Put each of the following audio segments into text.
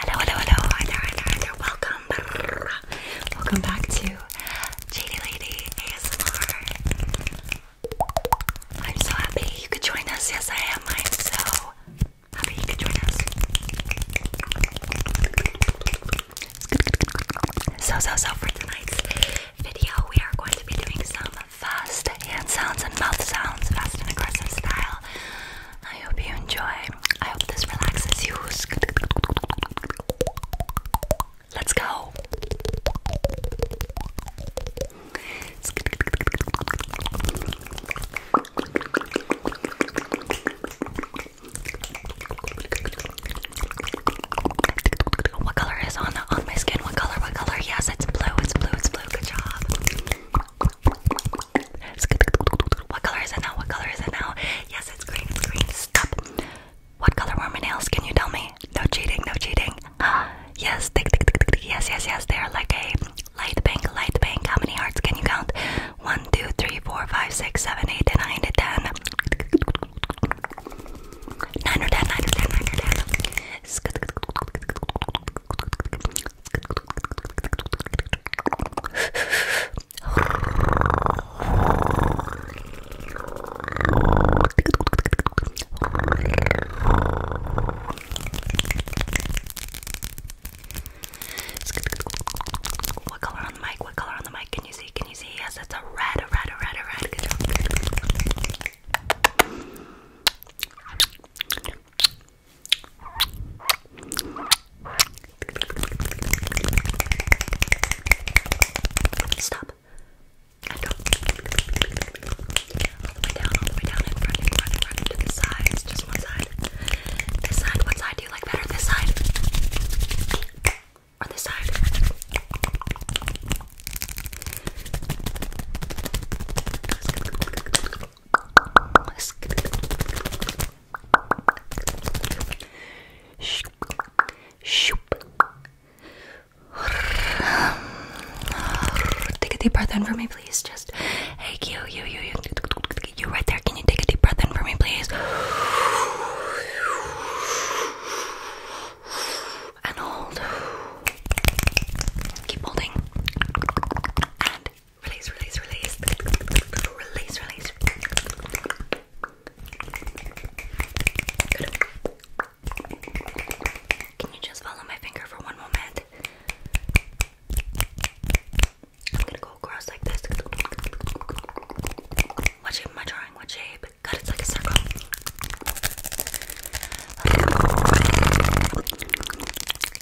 Hello, hello, hello, hi there, hi there, hi there. Welcome. Welcome back to JD Lady ASMR. I'm so happy you could join us. Yes, I am. I'm so happy you could join us. So, so, so for tonight's video, we are going to be doing some fast hand sounds and mouth sounds, fast and aggressive style. I hope you enjoy. I hope this relaxes you. Let's go. What color is on the, on my skin? What color? What color? Yes, it's blue. It's blue. It's blue. Good job. It's good. What color is it now? What color is it now? Yes, it's green. It's green. Stop. What color were my nails? Can you tell me? No cheating. No cheating. Yes. Tick, tick, tick, tick, tick. Yes. Yes. Yes. They are like a light bank. Light bank. How many hearts can you count? One, two, three, four, five, six, seven, eight, and nine, and ten. Nine or ten. Nine or ten. Nine or ten. What color on the mic? What color on the mic? Can you see? Can you see? Yes, it's a red, a red, a red, a red. Good job. Stop. And go. All the way down, all the way down, in front, in front, in front, to the sides, just one side. This side, what side do you like better? This side? Or this side? Take a deep breath in for me, please. Just hey, you, you, you, you, you, right there. Can you take a deep breath in for me, please? and hold. Keep holding. And release, release, release. Release, release. Can you just follow my finger for one moment? I'm gonna go across like this. What shape am I drawing? What shape? Can you,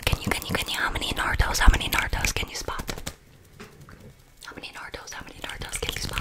can you, can you? How many Naruto's? How many Naruto's can you spot? How many Naruto's? How many Naruto's can you spot?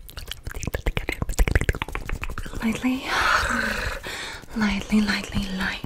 Lightly, lightly, lightly, light.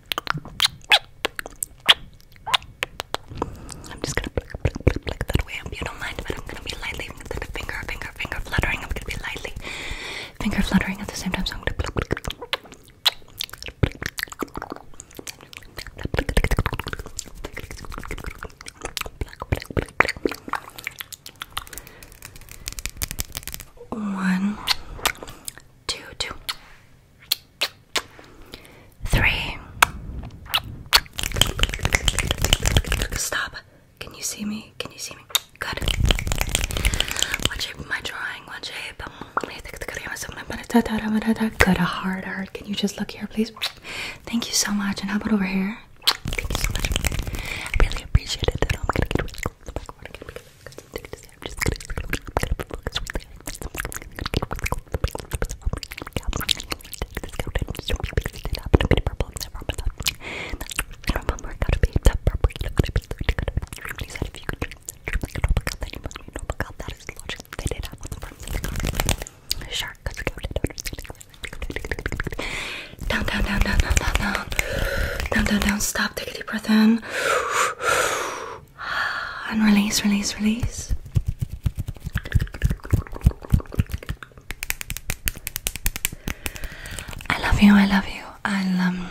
I'm just gonna pluck, away. I you don't mind, but I'm gonna be lightly finger, finger, finger fluttering. I'm gonna be lightly finger fluttering at the same time. So I'm gonna pluck, One, two, two, Three. Stop. Can you see me? Can you see me? Good. What shape am I drawing? What shape? Good. A hard art. Can you just look here, please? Thank you so much. And how about over here? Thank you so much. I really appreciate it. I'm gonna get down, down, down, down, down, down, down, down, down, down, stop, take a deep breath in. And release, release, release. I love you, I love you. I'll um,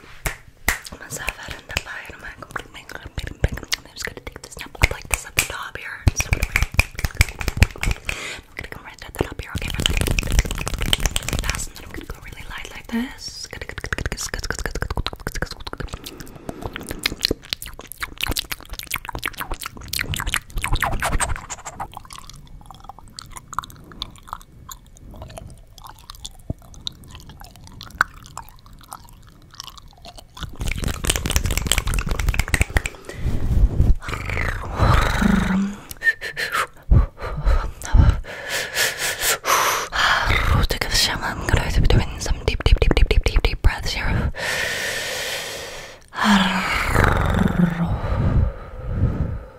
I'm gonna set that in the pie and I'm gonna complete my I'm just gonna take this now, like this at the top here. So I'm gonna come right at the top here, okay? Really fast, and then I'm gonna go really light like this. I'm gonna be doing some deep, deep, deep, deep, deep, deep, deep breaths here.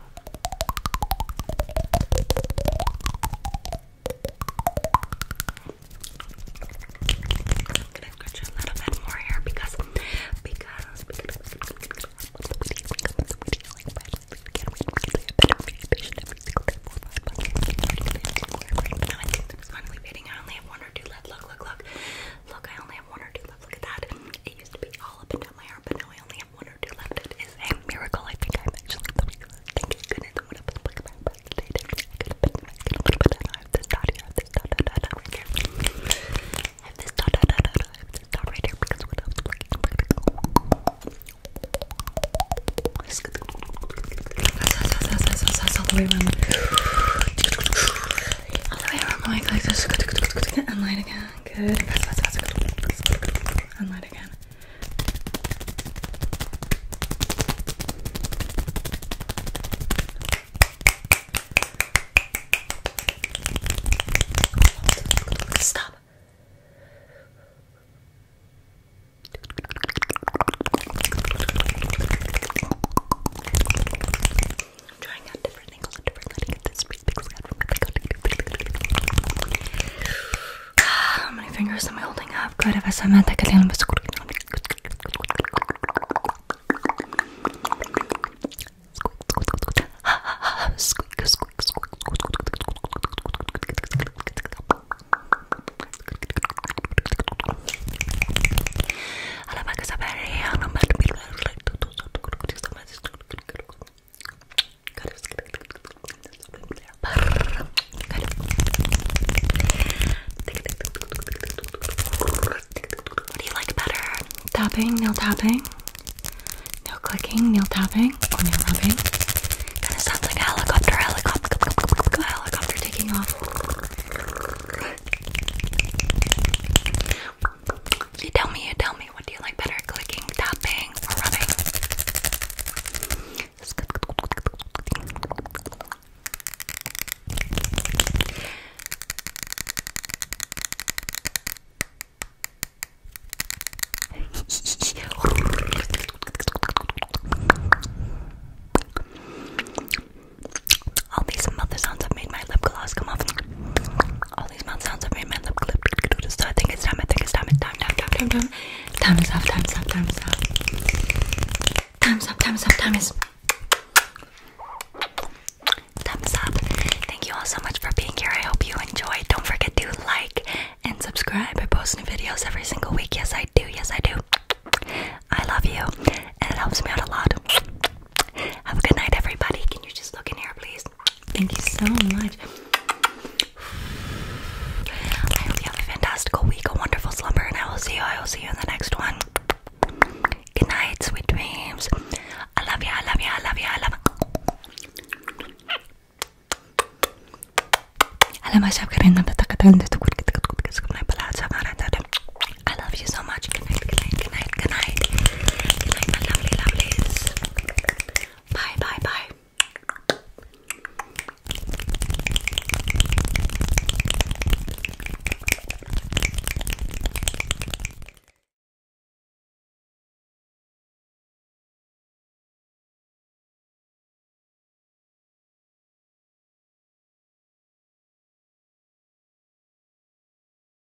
gonna scratch a little bit more here because because I only have one or two left. Look, look, look. Look, I only have one or two left. Look at that. It used to be all up and down my arm, but now I only have one one or two left. It is a miracle. I think I'm actually the reason. Thank you goodness I'm gonna put my breath today. I little bit I have this dot here, I have this dot, dot, dot right here. I have this dot, dot, dot, dot, I have this dot right here because what else? all the way around. All the way around the mic like this. And light again. Good and light again. Stop. I'm trying out different angles and different lighting get this big, big scout from my How many fingers am I holding up? Good, if I said that, I little bit. Squeak, squeak, squeak, squeak, what do you like better? Tapping, nail tapping, nail clicking, nail tapping, or nail rubbing? Kind of sounds like a helicopter, helicopter, helicopter taking off. You tell me, you tell me, what do you like better, clicking, tapping, or rubbing? All these mouth sounds have made my lip gloss come off these mouth sounds i So I think it's time, I think it's time, it's time, time, time, time, time. Time is up, time is up, time is up. Time's up, up, time is thumbs up. Thank you all so much for being here. I hope you enjoyed. Don't forget to like and subscribe. I post new videos every single week. Yes, I do. Yes, I do. I love you, and it helps me out a lot. Have a good night, everybody. Can you just look in here, please? Thank you so much. I hope you have a fantastical week, a wonderful slumber, and I will see you. I will see you in the next one. Good night, sweet dreams. I love you. I love you. I love you. I love. I love you so much. Good night. Good night. Good night, good night. Good night, my lovely lovelies. Bye, bye, bye.